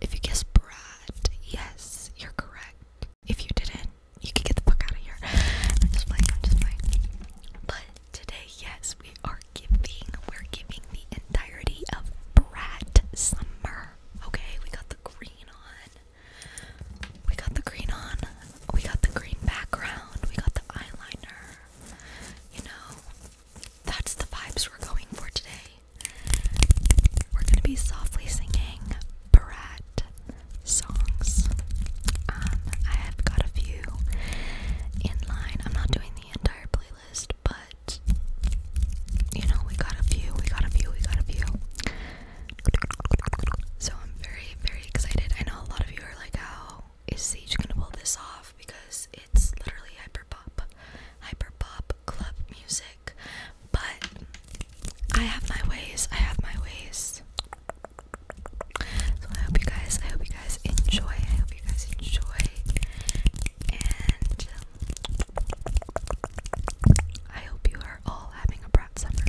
if you guessed Brad, yes, you're correct. If you didn't, you can get the fuck out of here. I'm just playing, I'm just playing. But today, yes, we are giving, we're giving the entirety of Brad Summer. Okay, we got the green on. We got the green on. We got the green background. We got the eyeliner. You know, that's the vibes we're going for today. We're gonna be softly singing Brat songs. Um, I have got a few in line. I'm not doing the entire playlist, but you know, we got a few, we got a few, we got a few. So I'm very, very excited. I know a lot of you are like, how is Siege gonna pull this off? Because it's literally hyper pop, hyper pop club music. But I have my ways. I have my ways. So I hope you guys. I hope you guys enjoy. I hope you guys enjoy. And I hope you are all having a brat summer.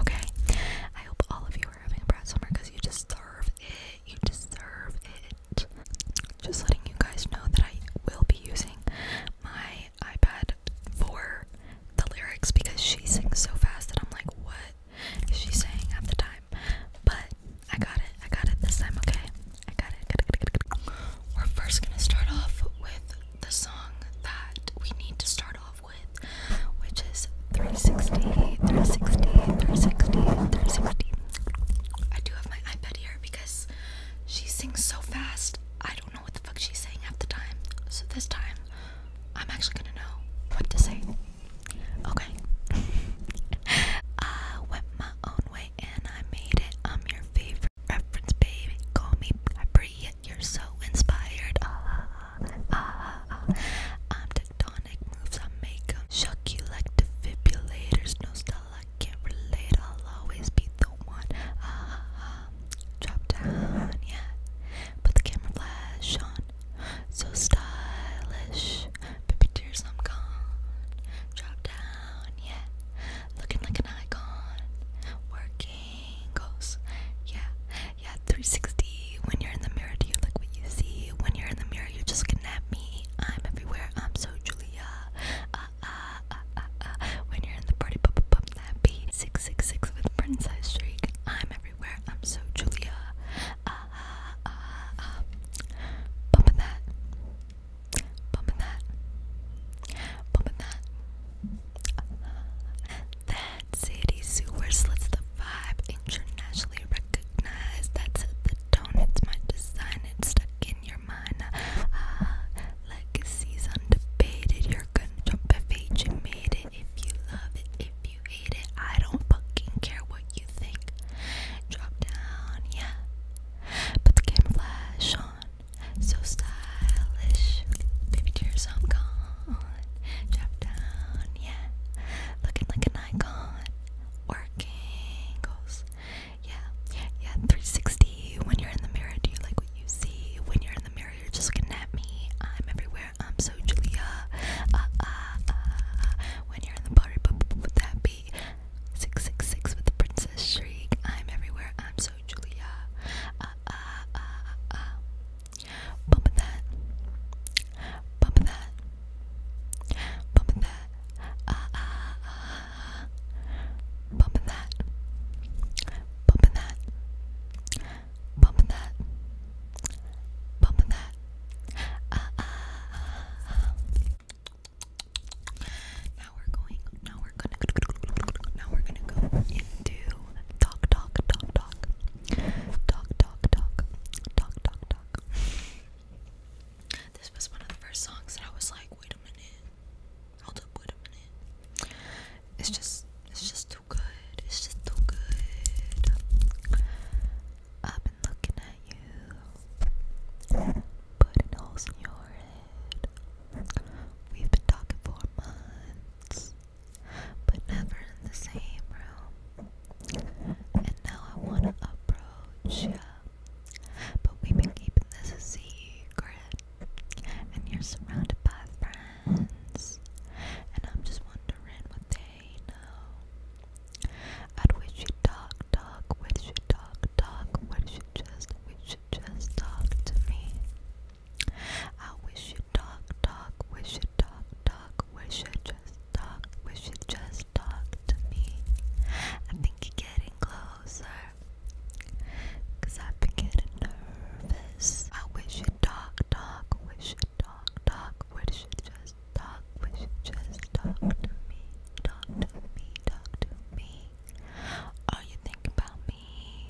Okay. I hope all of you are having a brat summer because you deserve it. You deserve it just letting you guys know that I will be using my iPad for the lyrics because she sings so fast that I'm like, what is she saying at the time? But I got it, I got it this time, okay? I got it, We're first gonna start off with the song that we need to start off with, which is 360, 360, 360, 360. I do have my iPad here because she sings so fast. I don't don't know what the fuck she's saying half the time. So this time, I'm actually gonna know what to say. Okay. I went my own way and I made it. I'm your favorite reference, baby. Call me Bria. You're so inspired. Ah, ah, ah. ah, ah. I'm tectonic moves. I make 'em shock you like defibrillators. No style I can't relate, I'll always be the one. Ah, drop down, yeah. Put the camera flash on. So stylish. Baby tears, I'm gone. Drop down, yeah. Looking like an icon. Working goals, yeah. Yeah, 360. When you're in the mirror, do you like what you see? When you're in the mirror, you just looking me. I'm everywhere. I'm so Julia. Ah, ah, ah, ah, ah. When you're in the party, pop, that beat. 666 with Princess Streak. I'm everywhere. I'm so Julia. Ah, ah, ah, ah. Bumping that. Bumping that. Bumping that. that city sewer slits the vibe. Internationally recognized. That's the tone. It's my design. It's stuck in your mind ah, legacies undebated you're gonna jump if you made it if you love it if you hate it I don't fucking care what you think drop down yeah put the camouflage on so stylish baby tears I'm gone drop down yeah looking like an icon working goals yeah, yeah, 360. When you're in the mirror, do you like what you see? When you're in the mirror, you're just looking at me. I'm everywhere. I'm so Julia. Uh, uh, uh. When you're in the party, what would that be? 666 with the princess shriek. I'm everywhere. I'm so Julia. Uh, uh, uh, uh. Bump that. Bump that. Bump that. Uh, uh, uh bumping that, bumping that, bumping that, bumping that. Uh, uh, uh. Now we're going. Now we're gonna. Now we're gonna go into talk, talk, talk, talk, talk, talk, talk, talk, talk. This was one of the first songs that I was like, wait a minute. Hold up, wait a minute. It's just, it's just too good. It's just too good. I've been looking at you, putting holes in your head. We've been talking for months, but never in the same room. And now I wanna approach ya, but we've been keeping this a secret and you're surrounded by friends, and I'm just wondering what they know. i wish you talk, talk, wish you talk, talk, wish you just, wish you just talk to me. I wish you talk, talk, wish you talk, talk, wish you just talk, wish you just talk to me. I think you're getting closer. Cause I've getting nervous. I wish you talk, talk, wish you talk, talk, wish you just talk, wish you just talk to me, talk to me, talk to me. Are you thinking about me?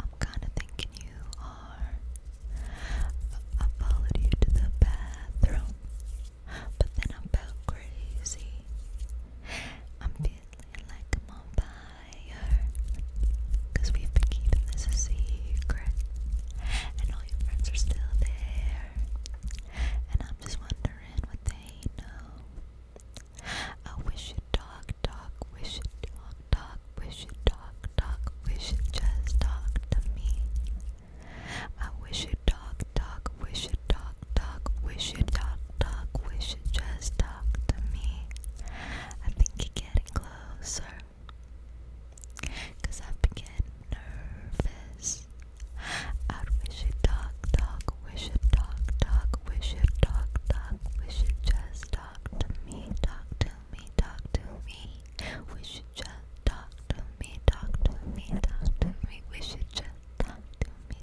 I'm kinda thinking you are. I followed you to the bathroom, but then I felt crazy. I'm feeling like them on we we've been keeping this a secret. And all your friends are still there. And I'm just wondering what they know. I wish you'd talk, talk, wish you'd talk, talk, wish you'd talk, talk, wish you'd just talk to me. I wish you'd talk, talk, we should talk, talk, we should talk, talk, we should just talk to me. I think you're getting closer. i I've been getting nervous. we should talk, talk, we should talk, talk, we should talk, talk, we should just talk to me, talk to me, talk to me. We should just talk to me, talk to me, talk to me. We should just talk to me,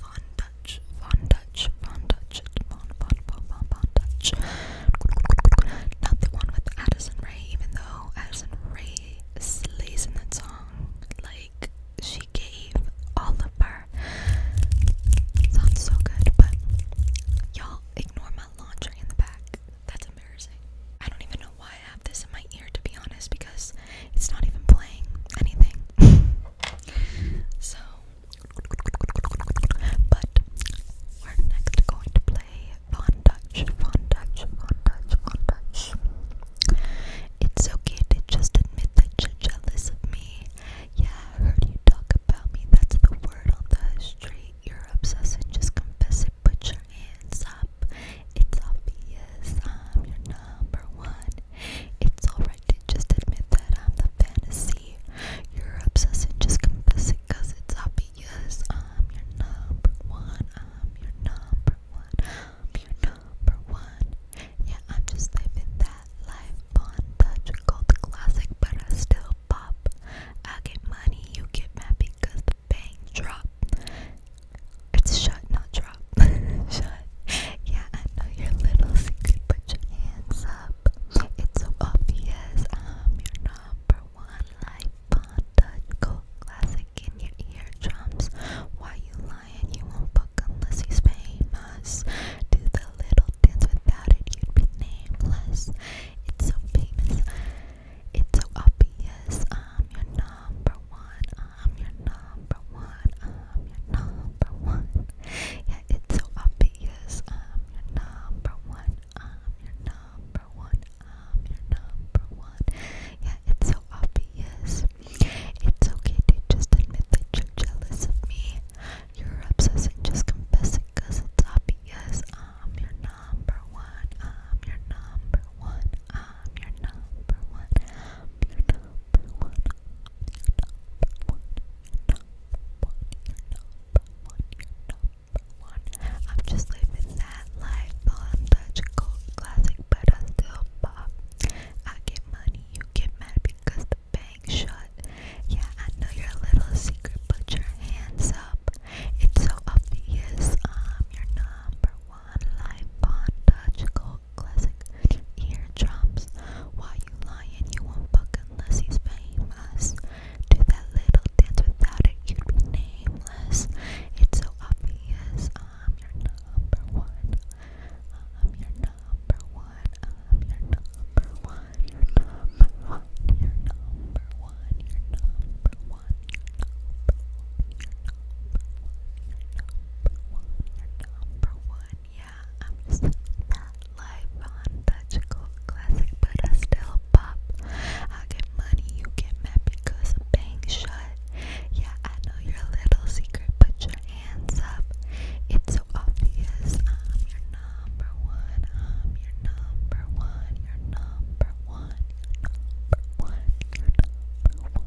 Von Dutch, Von Dutch, Von Dutch, Von, Von, Von, Von, Von Dutch. Not the one with Addison Rae, even though Addison Rae slays in that song. Like, she gave all of her. Sounds so good, but y'all ignore my laundry in the back. That's embarrassing. I don't even know why I have this in my to be honest because it's not even playing anything. so, but we're next going to play Von Dutch, Von Dutch, Von Dutch, Von Dutch. It's okay to just admit that you're jealous of me. Yeah, I heard you talk about me. That's the word on the street. You're obsessed. and Just confess it. Put your hands up. It's obvious I'm your number one. It's alright to just admit that I'm the fantasy. You're obsessing, just confess it, it's obvious. I'm your number one. I'm your number one. I'm your number one. Yeah, I'm just living that life on gold classic, but I still pop. I get money, you get mad the bank drop. It's shut, not drop. shut. Yeah, I know your little secret. Put your hands up. It's so obvious. I'm um, your number one life panda. Go classic in your eardrums. Why you lying? You won't fuck unless he's famous. Do the little dance without it, you'd be nameless. It's so famous. It's so obvious. I'm um, your number one. I'm your number one, I'm your number one. Yeah, it's so obvious. I'm your number one, I'm your number one, I'm your number one. Yeah, it's so obvious. It's okay to just admit that you're jealous of me. You're obsessing, just confess it's obvious. I'm your number one, I'm your number one, I'm your number one, number one. I'm just living that life on Dutch classic, but I still pop. I get money, you get mad because the bank shut. Yeah, I know your little secret, but your hands up. It's so obvious, I'm um, your number one life on Dutch old classic eardrums. While you lying, you won't fuck unless he's famous. Do that little dance without it, you'd be nameless. It's so obvious, I'm your number one. I'm your number one. I'm your number one. Your number one. Your number one. Your number one. Yeah, I'm just not live on Classic, but I still pop. I get money, you get mad because I'm bang Yeah, I know your little secret, put your hands up. It's so obvious. I'm your number one. I'm your number one. Your number one. number one.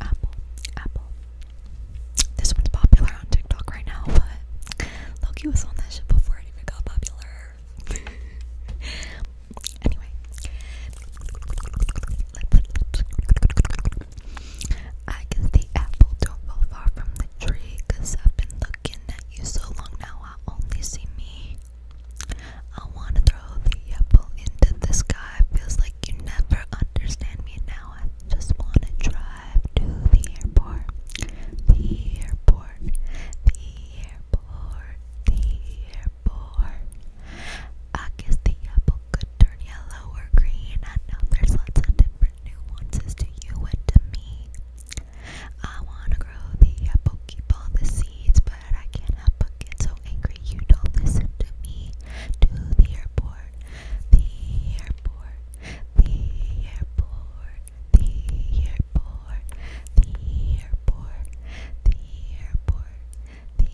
apple, apple. This one's popular on TikTok right now, but Loki was on that ship before it even got popular. anyway, I guess the apple don't fall far from the tree, i I've been looking at you so long now I only see me. I wanna throw the apple into the sky, feels like you never understand me now. I just wanna drive to the airport. The airport. The airport. The airport. I guess the apple could turn yellow or green. I know there's lots of different nuances to you and to me. I wanna grow the apple, keep all the seeds, but I can't get so angry. You don't listen to me. To the airport, the airport, the airport, the airport, the airport, the airport, the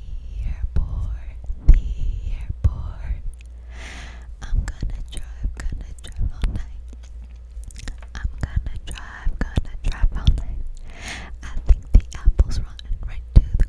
airport, the airport. I'm gonna drive, gonna drive all night. I'm gonna drive, gonna drive all night. I think the apple's rotten right to the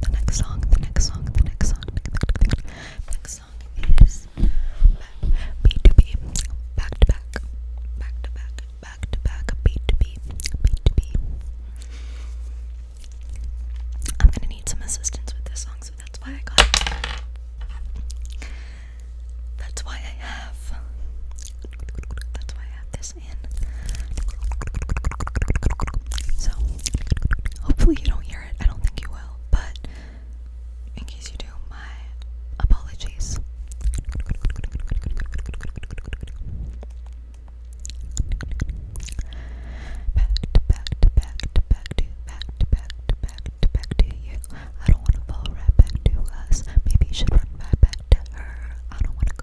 The next song, the next song, the next song. next song is B2B. Back to back. Back to back. Back to back. B2B. b am gonna need some assistance with this song, so that's why I got That's why I have. That's why I have this so, hopefully, you don't hear it. I don't think you will, but in case you do, my apologies. Back to back to back to back to back to back to back to you. I don't want to fall right back to us. Maybe you should run right back to her. I don't want to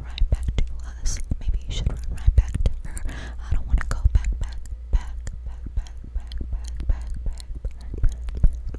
run back to us. Maybe you should run right back to her. I don't want to go back, back, back, back, back, back, back, back, back, back, back, back, back, back, back, back,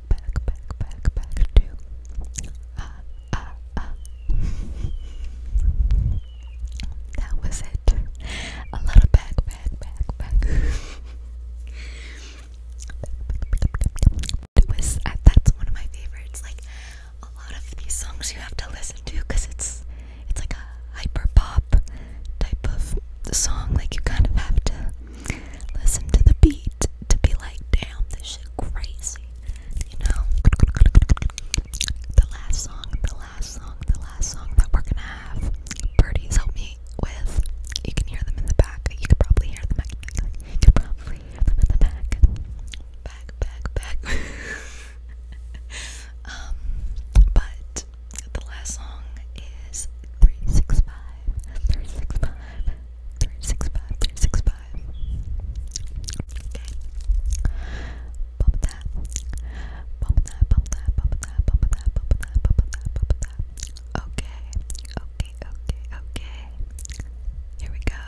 back, back, back, back to ah, ah, ah. that was it. A lot back, back, back, back. It was uh, that's one of my favorites. Like a lot of these songs you have to listen to because it's it's like a hyper pop type of song. Like you kind of have to listen to the beat to be like, damn, this shit crazy, you know? The last song, the last song, the last song that we're gonna have, birdies help me with. You can hear them in the back. You can probably hear them. You can probably hear them in the back. Back, back, back. um, but the last song is 365, 365, 365, five. Okay. Bump that. Bump that, bump that, bump that, bump that, bump that, bump that, bump that. Okay. Okay, okay, okay. Here we go.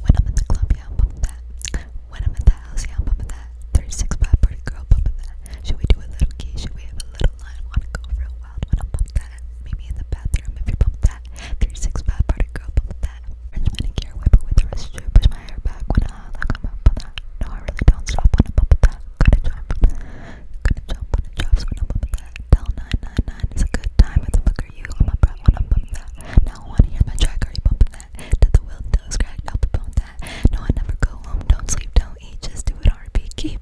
When I'm in the club, yeah, I'm bumping that. When I'm at the house, yeah, I'm bumping that. 365 party girl, bumping that. Should we do a little key? Should we have a little line? Wanna go real wild when I'm bumping that? that. Maybe in the bathroom if you bump that. 36 bad party girl, bump that. French manicure, wipe it with the wrist, push my hair back when I like am up on that. No, I really don't stop when I'm that. Gotta jump, gotta jump when I'm that. Tell 999 it's a good time, what the fuck are you? I'm up right when I'm that. Now I wanna hear my track, are you bumping that? Did the will toes cracked, I'll be bump that. No, I never go home, don't sleep, don't eat, just do it, RP, keep,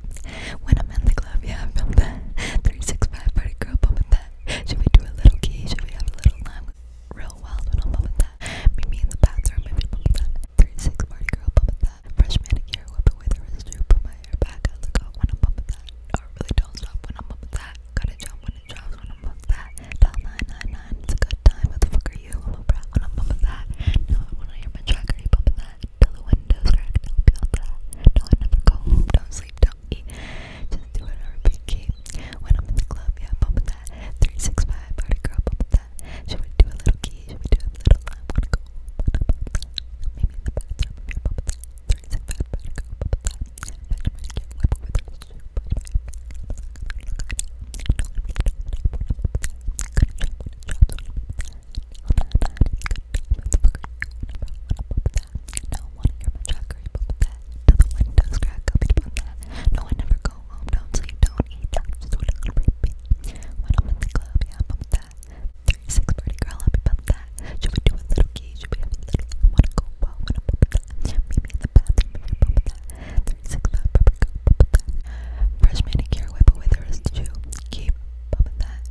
when I'm in the club, yeah, I feel that. 365 party girl, bump that. Should we do a little key? Should we have a little lime? Real wild when I'm bumping that. Meet me in the bathroom, maybe bump that. 36 party girl, bump that. Fresh manicure, whip it with a residue. Put my hair back, I look up when I'm bumping that. Or really don't stop when I'm bumping that. Gotta jump when it drops when I'm bumping that. Dial 999, it's a good time. What the fuck are you? i brat when I'm bumping that. Now I wanna hear my track, are you bumping that? sleep till the windows crack. Don't feel bad. Don't ever go Don't sleep. Don't eat. Just do it or When I'm in the club, yeah, bump with that. 365 party girl, bump with that. Should we do a little key? Should we do a little? I wanna go. Wanna bump that. Maybe in the bathroom. Here, bump with that. 365 party girl, bump with that. After my get it, do no one hear my chakra, you pop that. Till the windows crack, I'll be on that. No, I never go home, do you don't eat that. Just what i When I'm in the club, yeah, pop that. 36 girl, I'll be pop that. Should we do a little key? Should we have a little? wanna go wild, wanna pop that. Meet me in the bathroom, maybe pop that. 36 fat, pepper, go pop that. Fresh manicure, whip away the rest Keep popping that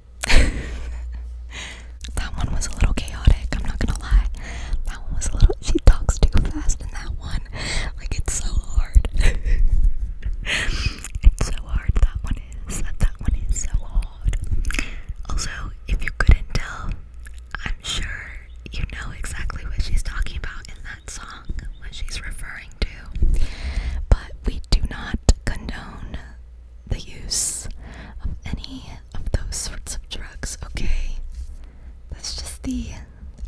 that one was a little chaotic, I'm not gonna lie. That one was a little she talks too fast in that one. Like it's so hard. it's so hard that one is. That that one is so hard. Also, if you couldn't tell, I'm sure you know exactly what she's talking about in that song, what she's referring to. But we do not condone the use of any of those sorts of drugs, okay? That's just the.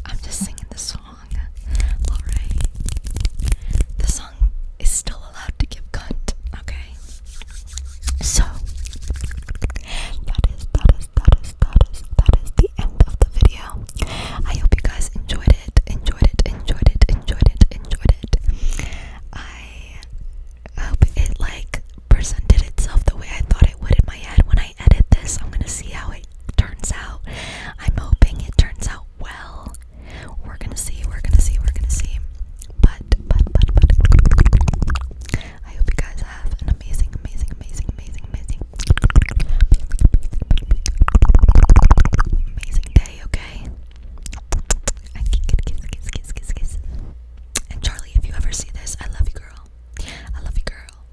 I'm just singing the song. Alright. The song is still allowed to give cunt, okay? So. That is, that is, that is, that is, that is the end of the video. I hope you guys enjoyed it, enjoyed it, enjoyed it, enjoyed it, enjoyed it. Uh, I hope it like presented itself the way I thought it would in my head when I edit this. I'm gonna see how it turns out. I'm hoping it turns out well. We're gonna see, we're gonna see, we're gonna see. But, but, but, but, I hope you guys have an amazing, amazing, amazing, amazing, amazing, amazing day, okay? And Charlie, if you ever see this, I love you, girl. I love you, girl.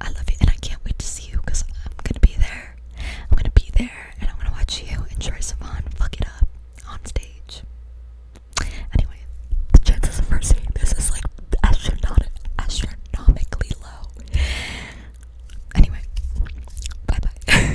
I love you, and I can't wait to see you because I'm gonna be there. I'm gonna be there, and I'm gonna watch you and Troye Sivan fuck it up on stage. Anyway, the chances of her seeing this is like astronom astronomically low. Anyway, bye bye.